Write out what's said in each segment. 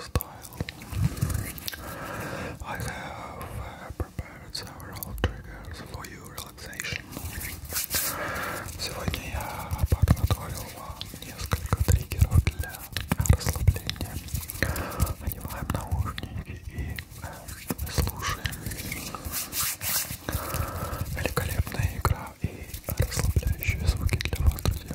style. I have uh, prepared several triggers for you relaxation. Сегодня я подготовил вам несколько триггеров для расслабления. Надеваем наушники и э, слушаем. Великолепная игра и расслабляющие звуки для вас, друзья.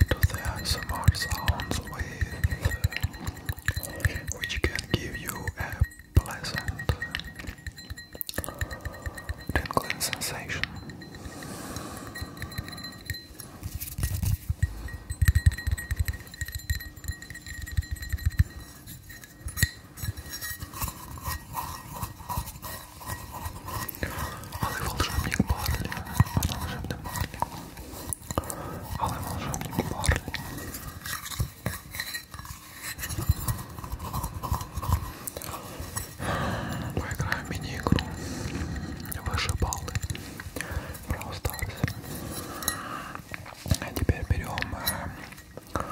to the ASMR sounds with which can give you a pleasant tingling sensation. Але волшебник Барлі, але волшебник Барлі, але волшебник Барлі. Поиграем в мини-игру вышибалы Brawl Stars. А теперь берем э,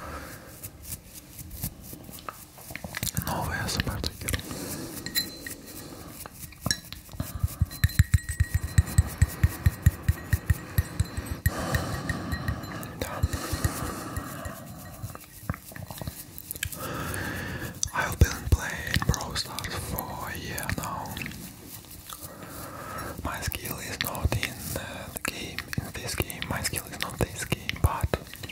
новый смр-триггер. I've been playing Brawl for a year now. My skill is not in uh, the game, in this game, my skill is not this game, but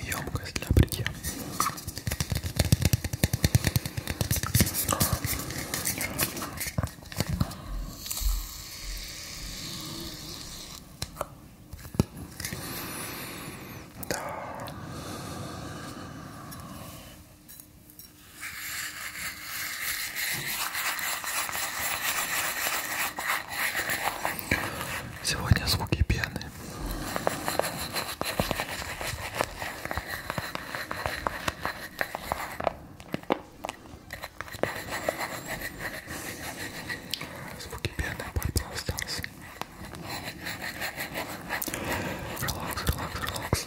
емкость для бритья. Да. Сегодня звуки пены. Звуки пены, пальцем остался. Релакс, релакс, релакс.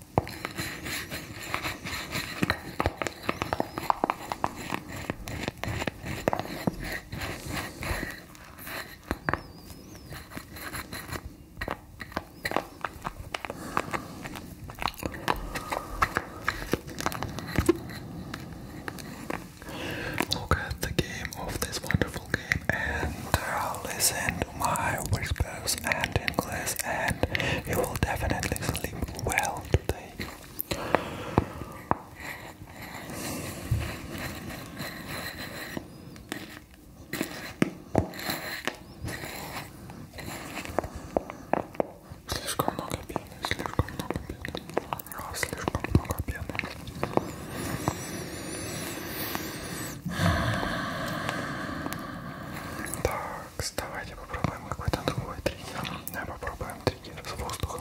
Look at the game of this wonderful game and uh, listen my whispers and English, and you will definitely sleep well today. Слишком много пены, Так, давайте попробуем какой-то другой триггер. Попробуем триггер с воздухом.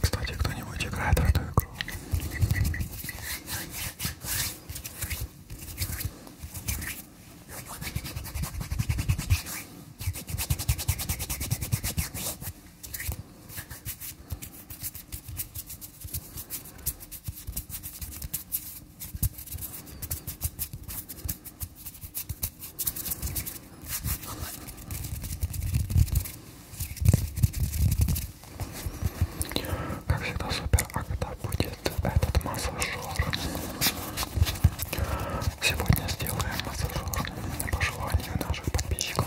Кстати, кто-нибудь играет в эту игру? Как всегда супер, а когда будет этот массажер? Сегодня сделаем массажер на пожелание наших подписчиков.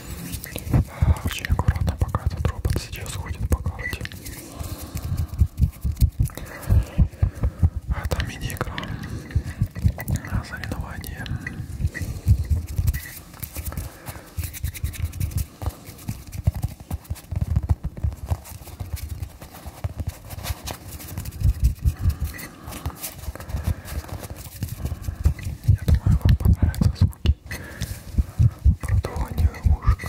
Очень аккуратно, пока этот робот сейчас ходит по карте. Это мини-игра. Соревнование. Я думаю, вам понравятся звуки продувание ушка.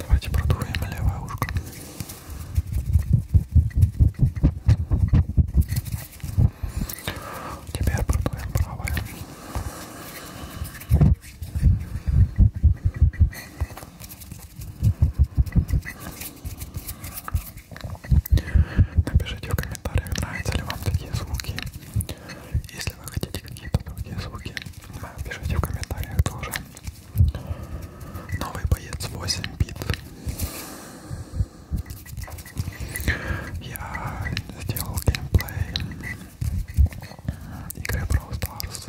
Давайте продуваем левое ушко. Теперь продуваем правое. Напишите в комментариях, нравятся ли вам такие звуки. Если вы хотите какие-то другие звуки, пишите в комментариях тоже. Новый боец 8 бит. Я сделал геймплей игры Brawl Stars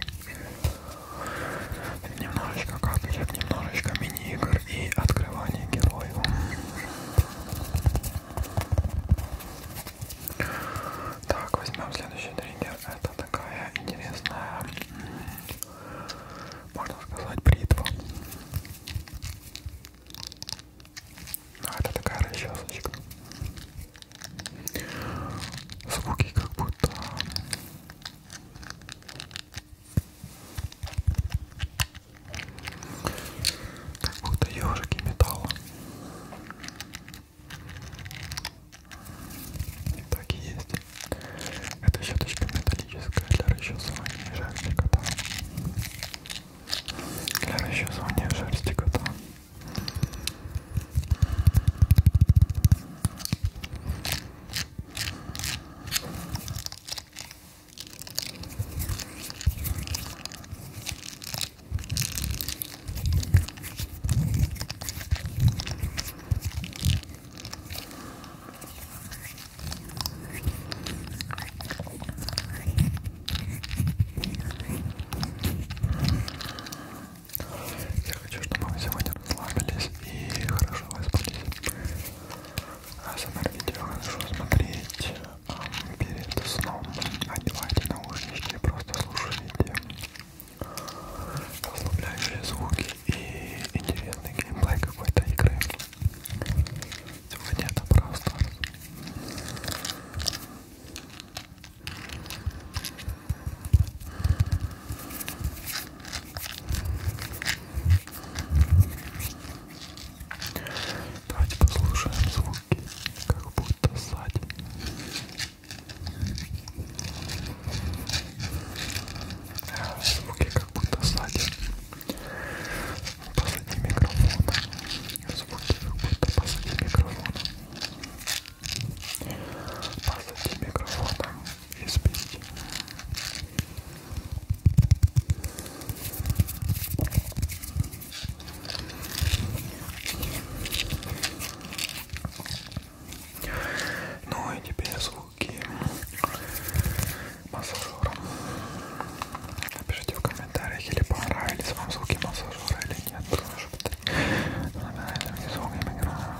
Немножечко капелек, немножечко мини-игр и открывание героев. Так, возьмем следующий триггер. Это такая интересная, можно сказать, бритва. А это такая расчесочка. Звуки как будто как будто ежики металла. И так и есть. Эта щеточка металлическая для расчесывания шерсти кота. Для расчесывания шерсти кота. Я хочу, чтобы вы сегодня расслабились и хорошо выспались. Асмр видео хорошо смотреть перед сном. Надевайте наушники, просто слушайте расслабляющие звуки и интересный геймплей какой-то игры. Сегодня это просто. Давайте послушаем звуки, как будто сзади. Э, звуки как будто сзади. Позади микрофона. Звуки как будто позади микрофона. Позади микрофона и спите. Ну и теперь звуки массажера. Напишите в комментариях, или понравились вам звуки массажера или нет. Потому что... Нравится мне звук микрофона.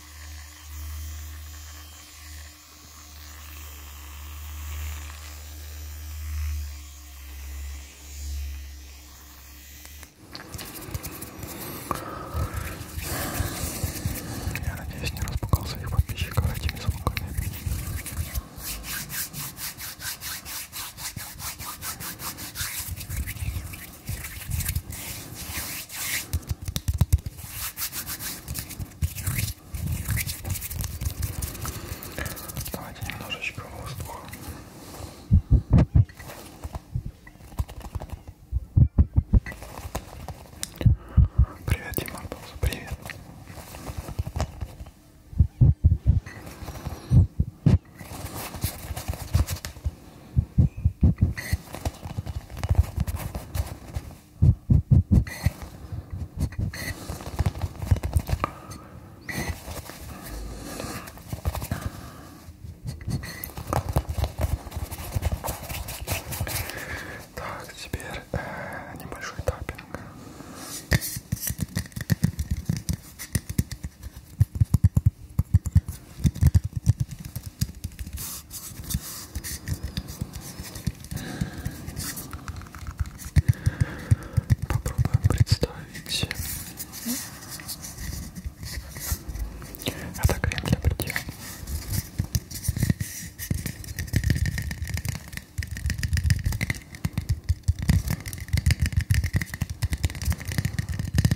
Я надеюсь, не распугал своих подписчиков этими звуками. Давайте немножечко воздуха. Привет, Дима, привет. Так, теперь э, небольшой таппинг. Попробуем представить. Это крем для бритья.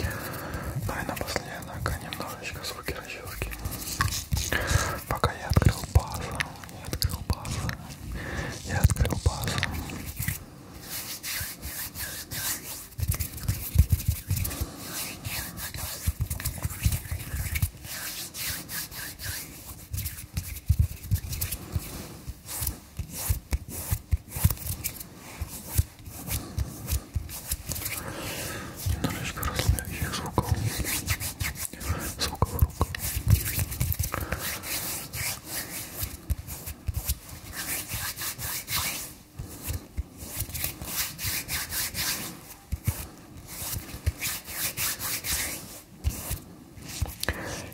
Ну и напоследок а немножечко звуки расчески. Пока я открыл базу, я открыл базу, я открыл базу.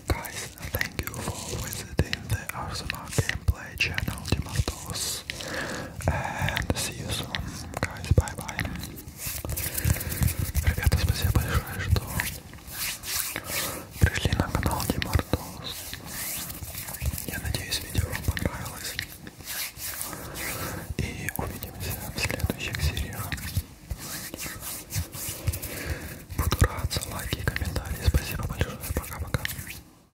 Guys, thank you for visiting the Arsenal Gameplay channel, Dimatos. videos. And see you soon, guys. Bye-bye. Ребята, спасибо большое, что пришли на канал Димартос. Я надеюсь, видео вам понравилось. И увидимся в следующих сериях. Буду рад за лайки и комментарии. Спасибо большое. Пока-пока.